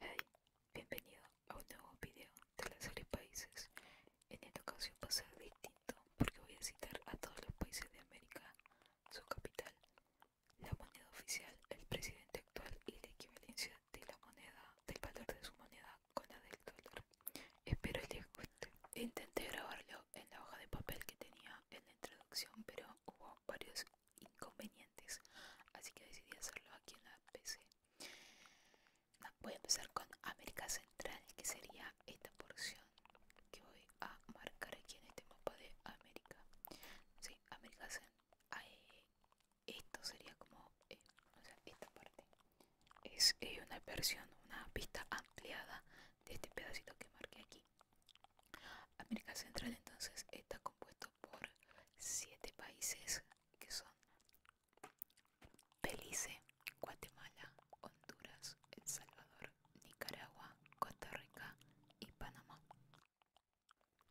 Hey, bienvenido a un nuevo video de la serie Países. En esta ocasión va a ser distinto porque voy a citar a todos los países de América, su capital, la moneda oficial, el presidente actual y la equivalencia de la moneda, del valor de su moneda con la del dólar. Espero les guste. Intenté grabarlo en la hoja de papel que tenía en la introducción, pero hubo varios inconvenientes así que decidí hacerlo aquí en la PC voy a empezar con América Central que sería esta porción que voy a marcar aquí en este mapa de América sí, América Central ah, eh, esto sería como eh, o sea, esta parte es eh, una versión, una pista ampliada de este pedacito que marqué aquí América Central entonces está compuesto por siete países que son Belice, Guatemala, Honduras, El Salvador, Nicaragua, Costa Rica y Panamá.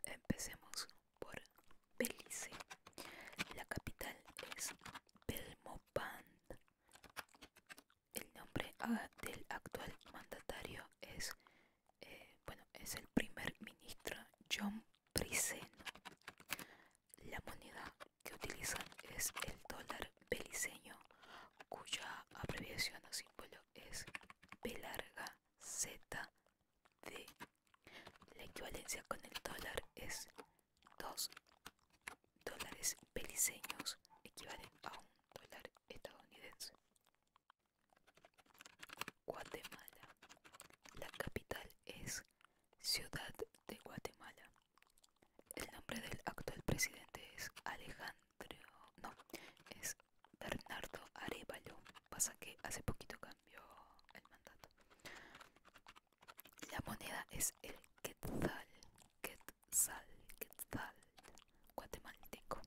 Empecemos por Belice. La capital es Belmopan El nombre ah, del actual mandatario es eh, bueno, es el primer ministro John Prisen. La moneda que utilizan es el dólar beliceño, cuya abreviación o símbolo es B Z La equivalencia con el dólar es dos dólares beliceños, equivalen a un dólar estadounidense. Guatemala. La capital es Ciudad de Guatemala. El nombre del actual presidente es Alejandro, no, es Bernardo Arevalo. Pasa que hace poquito cambió el mandato. La moneda es el quetzal, quetzal, quetzal guatemalteco.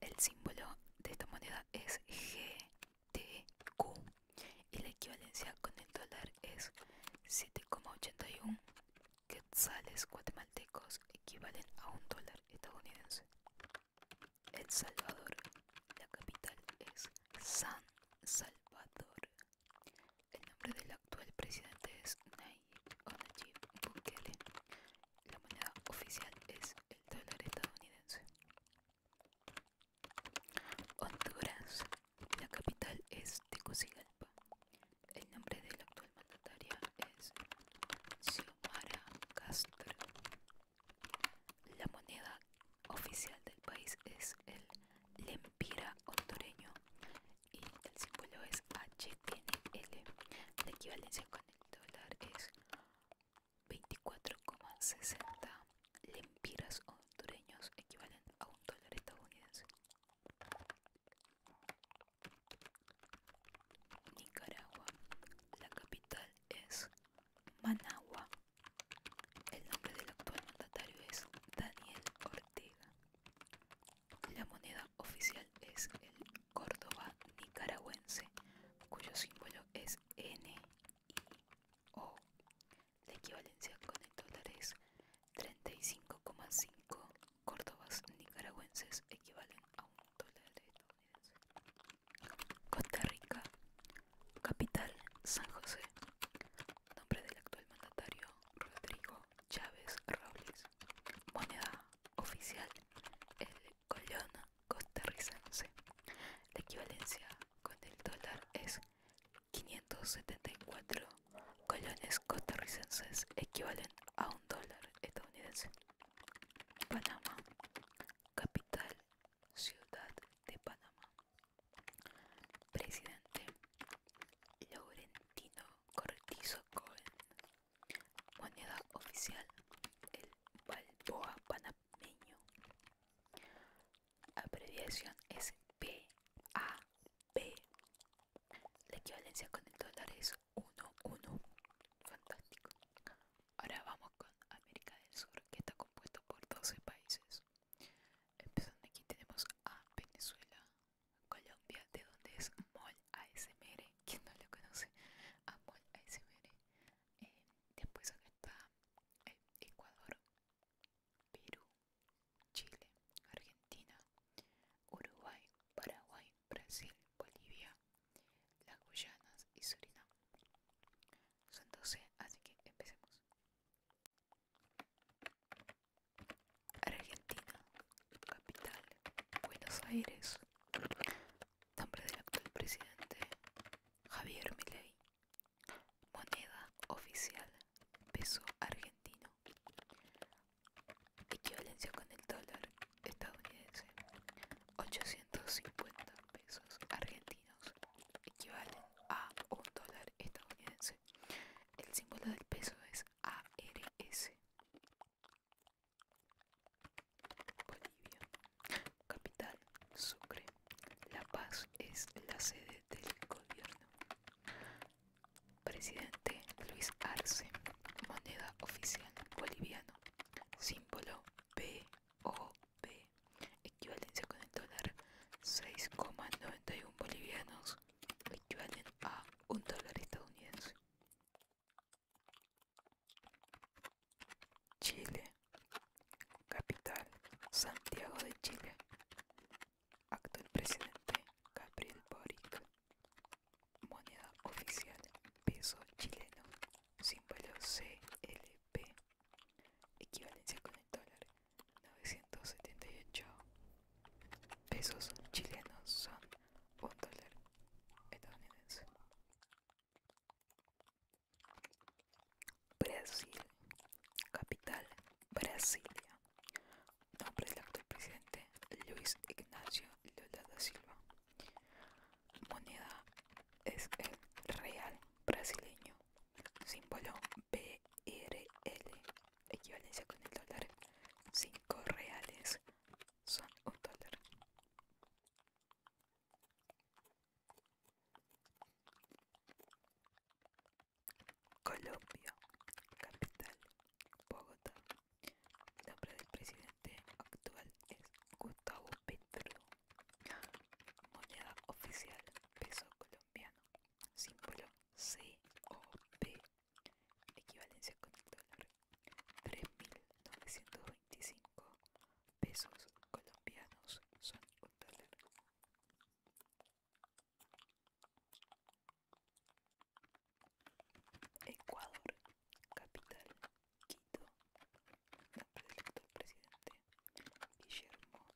El símbolo de esta moneda es GTQ y la equivalencia con el dólar es 7,81 quetzales guatemaltecos equivalen a un dólar estadounidense. El Salvador, la capital es San Salvador. El nombre del actual presidente es Nayib Bukele. La moneda oficial es el dólar estadounidense. Honduras. La capital es Tegucigalpa. El nombre de la actual mandataria es Xiomara Castro. La moneda oficial del país es el lempira hondureño y el símbolo es HNL. La equivalencia con el dólar es 24,60 lempiras hondureños equivalente a un dólar estadounidense. Nicaragua. La capital es Managua. El nombre del actual mandatario es Daniel Ortega. La moneda oficial es el Córdoba nicaragüense, cuyo símbolo es NIO. La equivalencia con el dólar es 35,5 Córdobas nicaragüenses equivalen a un dólar estadounidense. Costa Rica, capital San José. Nombre del actual mandatario Rodrigo Chávez Robles moneda oficial el colón costarricense. La equivalencia con el dólar es 574 colones costarricenses equivalen a un dólar estadounidense. Panamá, capital, ciudad de Panamá. Presidente Laurentino Cortizo con Moneda oficial, el Balboa panameño. Abreviación es PAP La equivalencia con el dólar es 1-1. Fantástico. Ahora vamos con América del Sur, que está compuesto por 12 países. Empezando aquí tenemos a Venezuela, Colombia, de dónde es Mol ASMR, quien no lo conoce, a Mol ASMR. Eh, después acá está eh, Ecuador, Perú, Chile, Argentina, Uruguay, Paraguay, Brasil, Bolivia, las Guyanas y Surinam. Son 12, así que empecemos. Argentina, capital, Buenos Aires. Nombre del actual presidente, Javier Milei. Moneda oficial, peso argentino. Equivalencia con el dólar estadounidense, 850 pesos argentinos equivalen a un dólar estadounidense. El símbolo del peso es ARS. Bolivia, capital Sucre. La Paz es la sede del gobierno. Presidente Luis Arce. Moneda oficial boliviano. Símbolo B. Equivalencia con el dólar 6,91 bolivianos equivalen a un dólar estadounidense. Chile, capital Santiago de Chile, actual presidente Gabriel Boric, moneda oficial peso chileno, símbolo CLP, equivalencia con el dólar 978 pesos chilenos son un dólar estadounidense. Brasil, capital Brasilia. Nombre del actual presidente Luis Ignacio Lola da Silva. Moneda es el real brasileño. Símbolo BRL, equivalencia con el dólar, 5 reales son un dólar. Colombia, capital, Bogotá. El nombre del presidente actual es Gustavo Petro. Moneda oficial, peso colombiano símbolo COP, equivalencia con el dólar, 3.925 pesos colombianos son un dólar. Ecuador, capital, Quito, nombre del actual presidente, Guillermo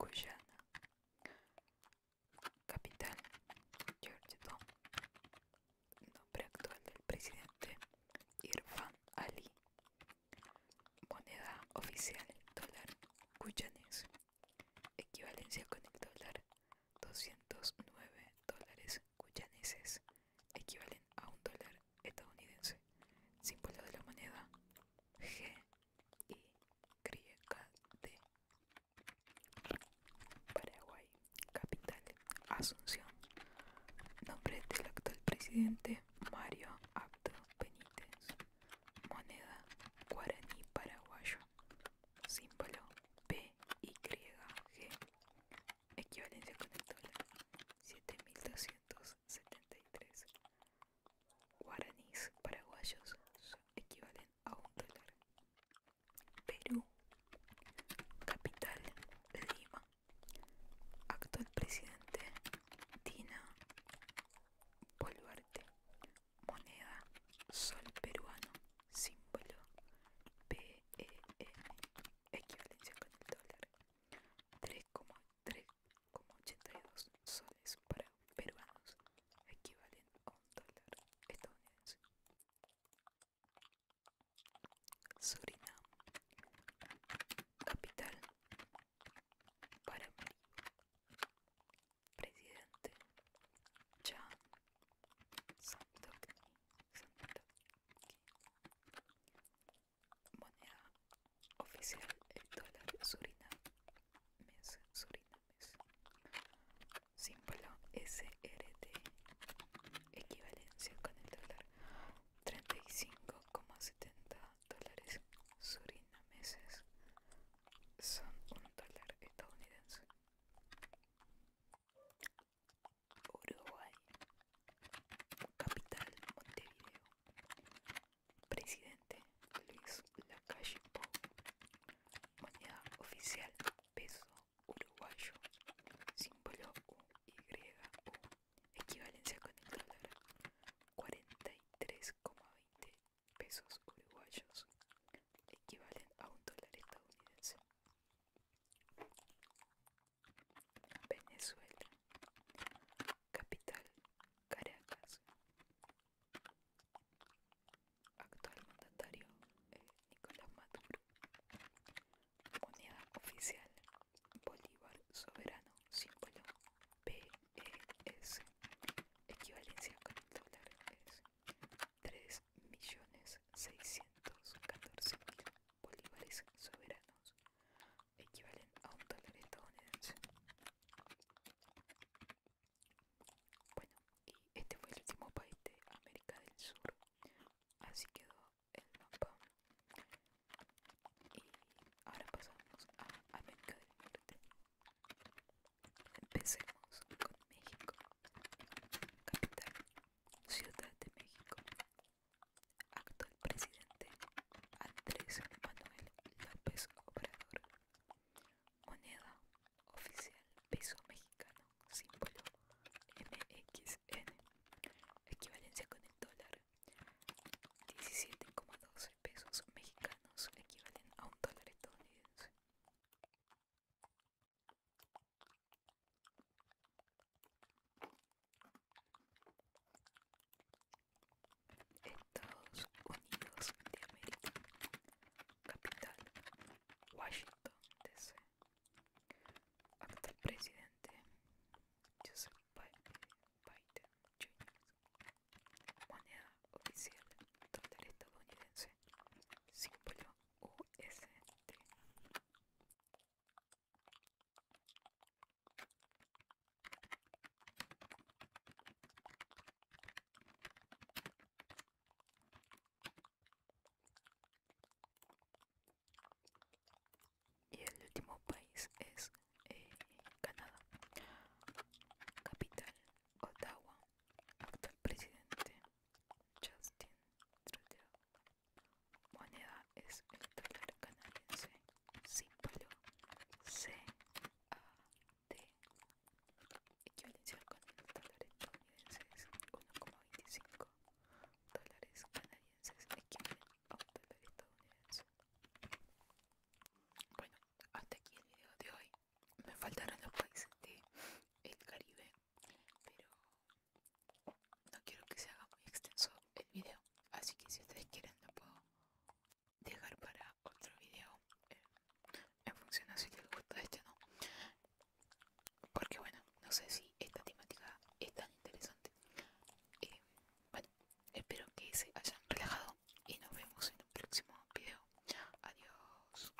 Cuyana capital Georgetown, nombre actual del presidente Irfan Ali, moneda oficial dólar Cuyanes equivalencia con el dólar 209 dólares Cuyaneses equivalen a un dólar estadounidense, símbolo de la moneda G de Paraguay, capital Asunción. Nombre del actual presidente Mario Abdo Benítez. Moneda guaraní paraguayo. Símbolo PYG. Equivalencia con el dólar 7273 guaraníes paraguayos equivalen a un dólar. Perú, capital Lima, actual presidente Dina Boluarte, moneda sol peruano, símbolo PEM, equivalencia con el dólar, 3,8 3,82 soles para peruanos equivalen a un dólar estadounidense. Surinam, capital Paramaribo, presidente Jan moneda oficial el dólar surinamés, surinamés Símbolo SRT, equivalencia con el dólar 35,70 dólares surinameses son un dólar estadounidense. Uruguay capital Montevideo, presidente Luis Lacalle Pou, moneda oficial peso uruguayo, símbolo UY, equivalencia con el dólar, 43,20 pesos uruguayos, equivalen a un dólar estadounidense. Venezuela, capital Caracas. Actual mandatario eh, Nicolás Maduro. Moneda oficial Bolívar soberano, símbolo PES. Equivalencia con es 3.614.000 bolívares soberanos equivalen a un dólar estadounidense. Bueno, y este fue el último país de América del Sur. Así quedó el mapa. Y ahora pasamos a América del Norte. Empecemos con México. Capital, Ciudad de México actual presidente Andrés Manuel López Obrador. Moneda oficial peso mexicano, símbolo MXN, equivalencia con el dólar. 17,2 pesos mexicanos equivalen a un dólar estadounidense. Estados Unidos de América, capital Washington, D.C. Actual presidente Joseph Biden Jr. Moneda oficial total estadounidense, símbolo USD. Y el último país es eh, Canadá. Capital, Ottawa. Actual presidente Justin Trudeau. Moneda es el dólar canadiense, símbolo CAD, equivalencia con el dólar estadounidense es 1,25 dólares canadienses, equivalente a un dólar estadounidense. Bueno, hasta aquí el video de hoy. Me faltaron los países del Caribe, pero no quiero que se haga muy extenso el video, así que si ustedes quieren lo puedo dejar para otro video en función a si les gusta este o no. Porque bueno, no sé si esta temática es tan interesante. Eh, bueno, espero que se hayan relajado y nos vemos en un próximo video. Adiós.